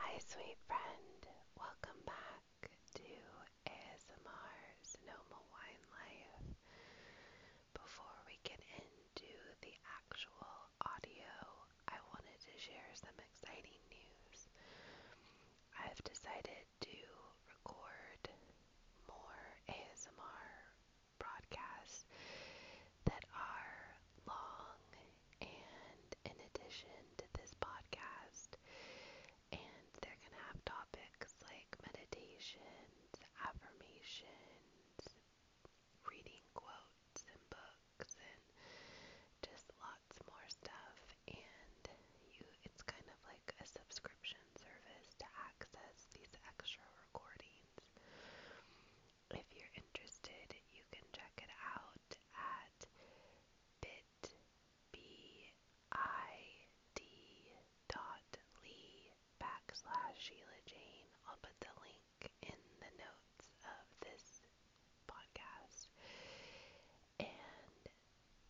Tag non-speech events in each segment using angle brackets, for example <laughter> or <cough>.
Hi, sweet friend. Welcome back to ASMR's Sonoma Wine Life. Before we get into the actual audio, I wanted to share some exciting news. I've decided to record more ASMR broadcasts that are long and in addition to this podcast and they're going to have topics like meditations, affirmations, reading quotes and books and just lots more stuff and you it's kind of like a subscription service to access these extra recordings if you're interested, you can check it out at bit dot lee backslash Sheila Jane. I'll put the link in the notes of this podcast. And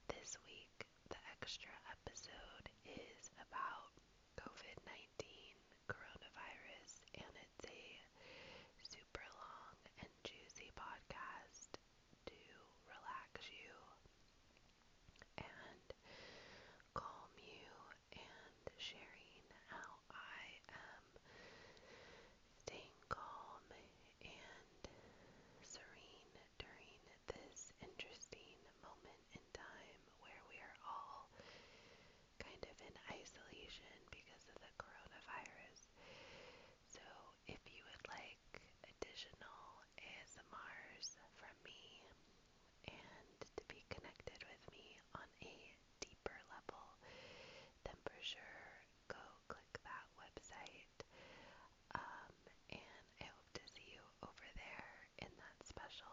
this week, the extra episode is about COVID 19 coronavirus, and it's a super long and juicy podcast to relax you and calm you, and sharing how I am staying calm and serene during this interesting moment in time where we are all kind of in isolation because of the coronavirus. So if you would like additional ASMRs from me and to be connected with me on a deeper level, then for sure go click that website. Um, and I hope to see you over there in that special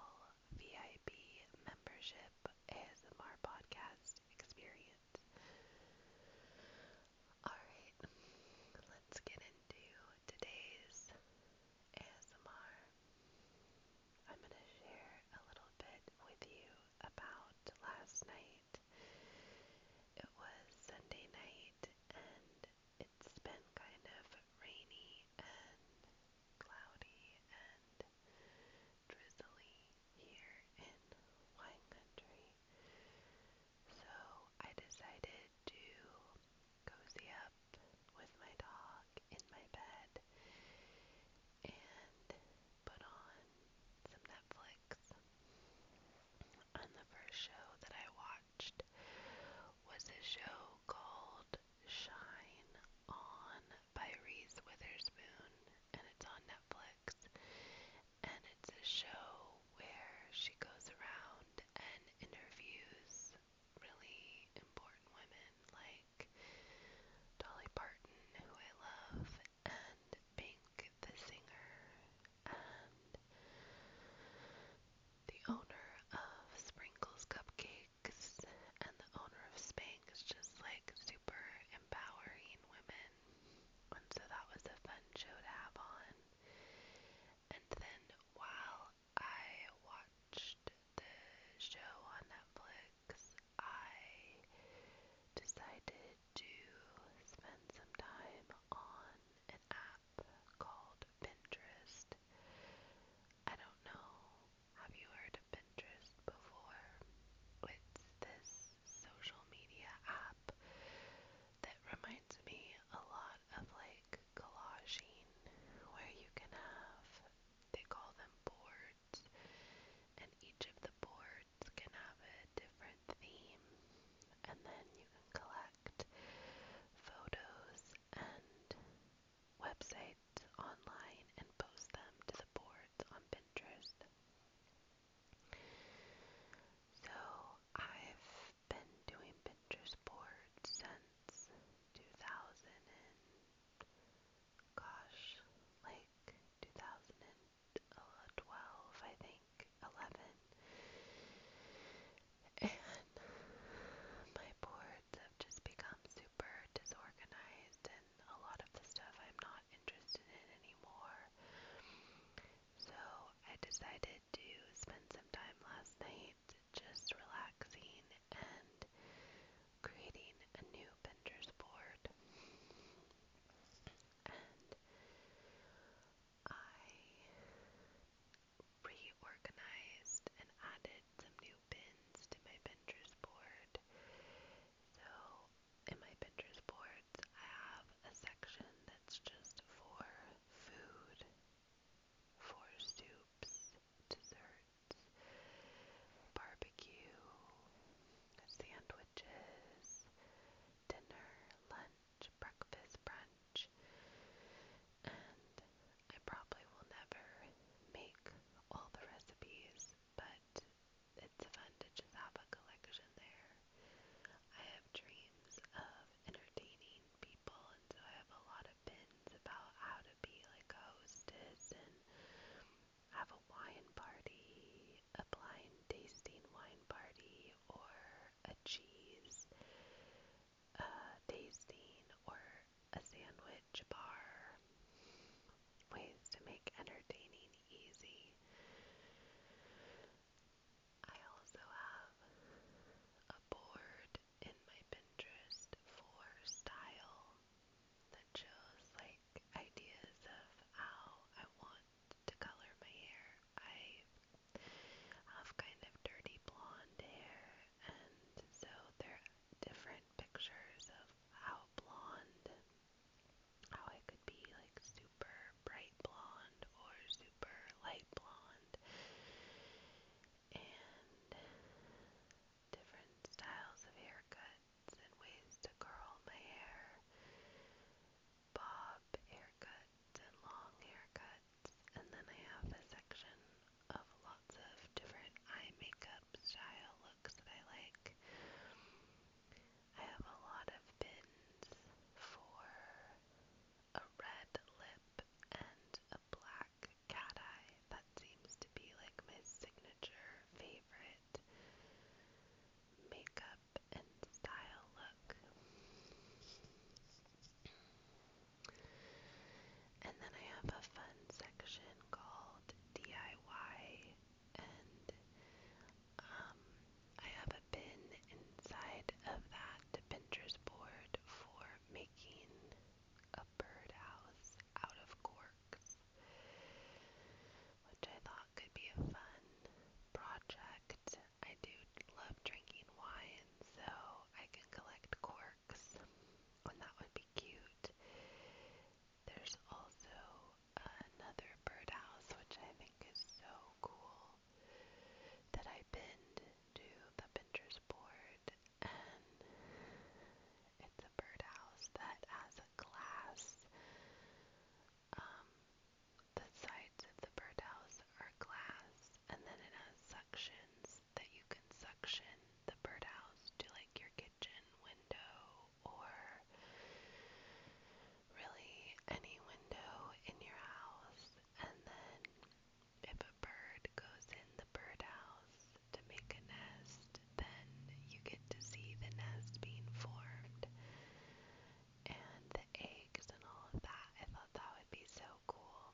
VIP membership ASMR podcast experience. Alright, let's get into today's ASMR. I'm going to share a little bit with you about last night. It was Sunday night and it's been kind of rainy and cloudy and drizzly here in wine country. So I decided to cozy up with my dog in my bed and put on some Netflix. And the first show that I watched was a show called Shine On by Reese Witherspoon, and it's on Netflix. And it's a show where she goes around and interviews really important women like Dolly Parton, who I love, and Pink the singer, and the owner of Sprinkles Cupcakes. Lakes, and the owner of Spank is just like super empowering women. And so that was a fun show to have on. And then while I watched the show on Netflix, I decided to spend some time on an app called Pinterest. I don't know have you heard of Pinterest before? It's this social media app that reminds me a lot of like collaging, where you can have, they call them boards, and each of the boards can have a different theme, and then you can collect photos and websites online and post them to the boards on Pinterest. So I've been doing Pinterest boards since 2000 and gosh, like 2012, I think, 11. And my boards have just become super disorganized and a lot of the stuff I'm not interested in anymore. So I decided to spend some time last night just relaxing and creating a new Bender's board. And I reorganized and added some new bins to my Pinterest board. So in my Pinterest boards, I have a section that's just for food, for soups, desserts, barbecue, sandwiches, dinner, lunch, breakfast, brunch and I probably will never make all the recipes, but it's fun to just have a collection there. I have dreams of entertaining people, and so I have a lot of pins about how to be like a hostess and have a wine party, a blind tasting wine party, or a cheese a uh, tasting or a sandwich bar. Ways to make entertaining easy. I also have a board in my Pinterest for style that shows like ideas of how I want to color my hair. I have kind of dirty blonde hair and so there are different pictures of how blonde, how it could be like super bright blonde or super light blonde, and different styles of haircuts and ways to curl my hair, bob haircuts and long haircuts sets, and then I have a section of lots of different eye makeup style looks that I like. I have a lot of bins for a red lip and a black cat eye. That seems to be like my signature favorite makeup and style look. And then I have a fun section called DIY, and um, I have a bin inside of that Pinterest board for making a birdhouse out of corks, which I thought could be a fun project. I do love drinking wine, so I can collect corks sharks, and oh, that would be cute. There's also another birdhouse, which I think is so cool, that I pinned to the Pinterest board, and it's a birdhouse that has a glass. Um, the sides of the birdhouse are glass, and then it has sections that you can suction the birdhouse to like your kitchen window or really any window in your house. And then if a bird goes in the birdhouse to make a nest, then you get to see the nest being formed and the eggs and all of that. I thought that would be so cool.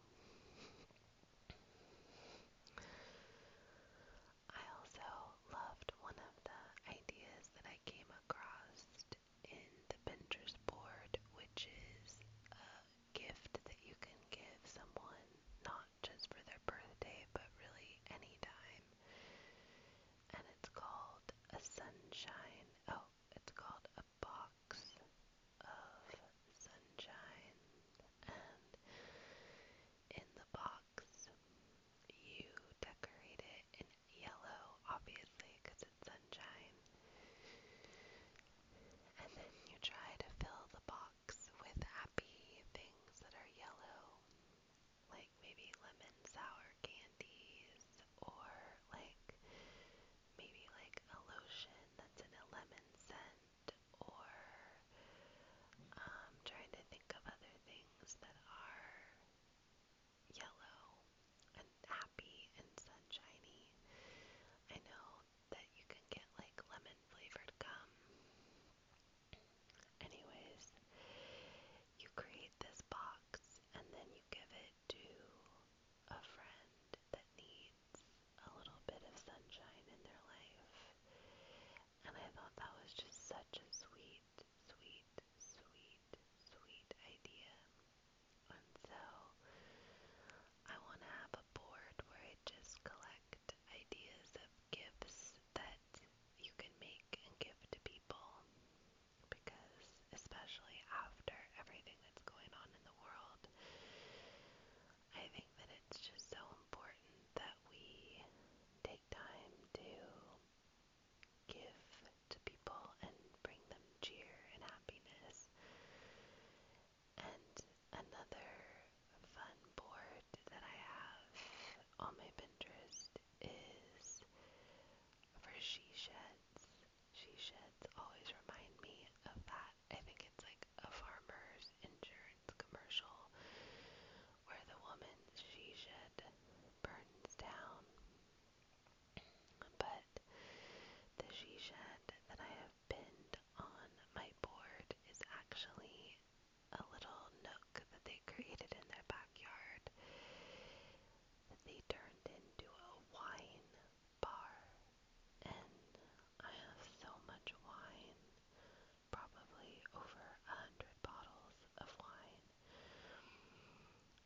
I also loved one of the ideas that I came across in the Pinterest board, which is a gift that you can give someone not just for their birthday, but really any time. And it's called a sunshine. Oh, it's called a box of sunshine, and in the box, you decorate it in yellow, obviously, because it's sunshine. And then you try to fill the box with happy things that are yellow, like maybe lemon sour candies or like maybe like a lotion that's in a lemon scent or um trying to think of other things that are yellow and happy and sunshiny. I know that you can get like lemon flavored gum. Anyways, you create this box and then you give it to a friend that needs a little bit of sunshine in their life. And I thought that was just such a sweet, sweet, sweet, sweet idea. And so I want to have a board where I just collect ideas of gifts that you can make and give to people because especially after everything that's going on in the world, I think that it's just so important that we take time to give to people and bring them cheer and happiness. And another fun board that I have on my Pinterest is for she sheds she sheds always remind me of that. I think it's like a farmer's insurance commercial where the woman's she shed burns down. But the she shed that I have pinned on my board is actually a little nook that they created in their backyard that they turned into a wine bar, and I have so much wine probably over a hundred bottles of wine.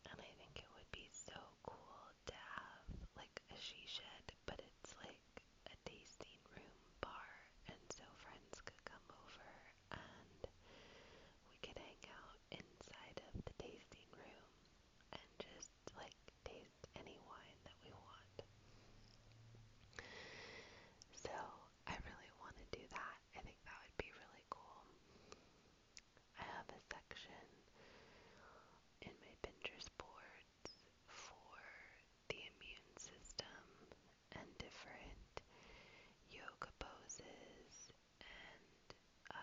And I think it would be so cool to have like a she shed, but it's like a tasting room bar, and so friends could come over and we could hang out inside of the tasting room and just like taste any wine that we want. So I really want to do that. I think that would be really cool. I have a section in my Pinterest boards for the immune system and different yoga poses and uh,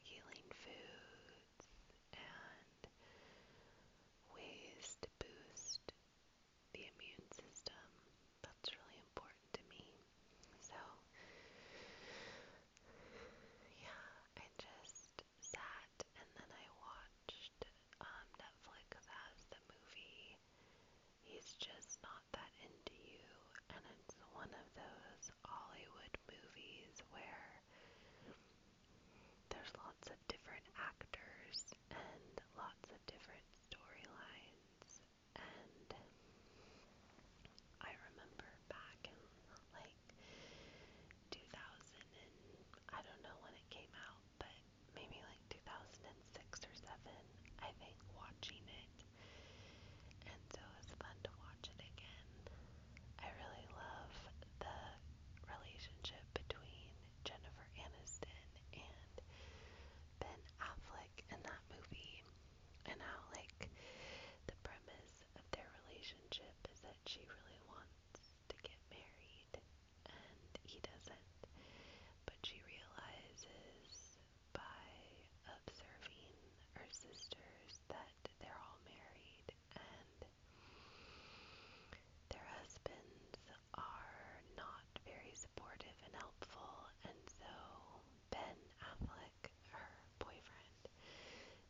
healing foods and ways to boost the immune system. That's really important to me. So, yeah, I just sat and then I watched um, Netflix as the movie. He's just not that into you, and it's one of those Hollywood movies where there's lots of different actors and lots of different storylines. And I remember back in like 2000 and I don't know when it came out, but maybe like 2006 or 7, I think watching it and so it was fun to watch it again. I really love the relationship between Jennifer Aniston and Ben Affleck in that movie, and how, like, the premise of their relationship is that she really wants to get married and he doesn't, but she realizes by observing her sisters that they're all married and their husbands are not very supportive and helpful, and so Ben Affleck, her boyfriend,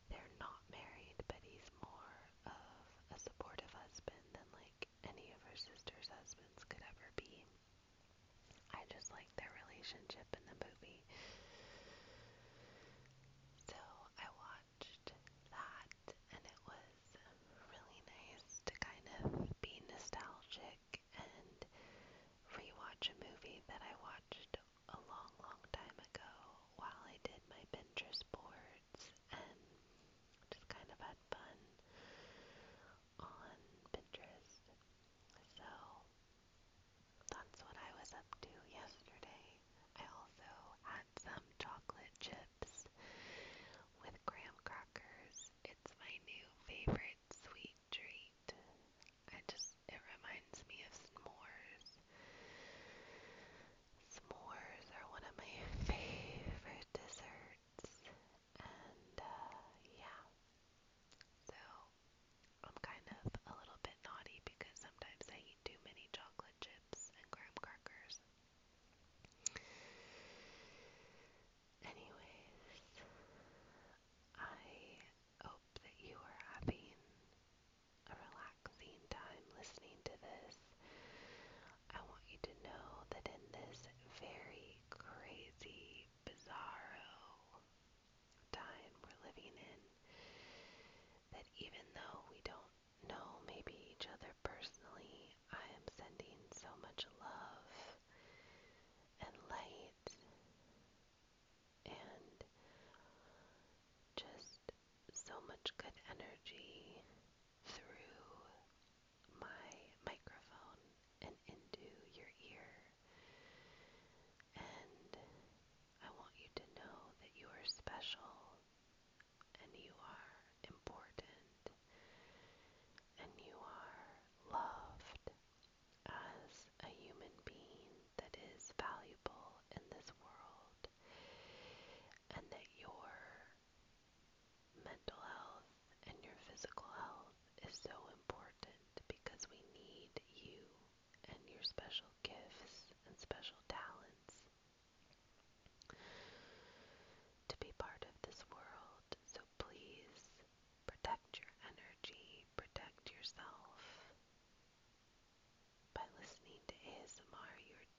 they're not married, but he's more of a supportive husband than like any of her sister's husbands could ever be. I just like their relationship in the movie. So I watched that and it was really nice to kind of be nostalgic and rewatch a movie that I watched a long, long time ago while I did my Pinterest boards and just kind of had fun on Pinterest. So that's what I was up to yesterday. I also had some chocolate chips with graham crackers. It's my new favorite sweet treat. I just, it reminds me of s'mores. S'mores are one of my <laughs> favorite desserts. And uh, yeah. So I'm kind of a little bit naughty because sometimes I eat too many chocolate chips and graham crackers. Anyways, I hope that you are having a relaxing time listening to this. I want you to know that in this very crazy, bizarro, time we're living in that even though we don't know maybe each other personally, I am sending so much love and light and just so much good energy through my microphone and into your ear. And I want you to know that you are special and you are important and you are loved as a human being that is valuable in this world and that your mental health and your physical health is so important because we need you and your special gifts and special talents to be part of this world. So please protect your energy, protect yourself. By listening to ASMR, you're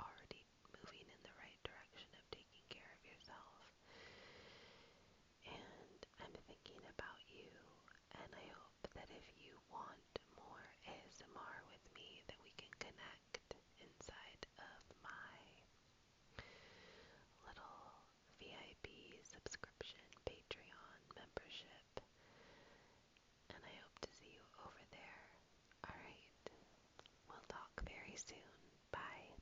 already moving in the right direction of taking care of yourself and I'm thinking about you and I hope that if you want more ASMR with me that we can connect inside of my little VIP subscription Patreon membership. And I hope to see you over there. Alright, we'll talk very soon. Bye.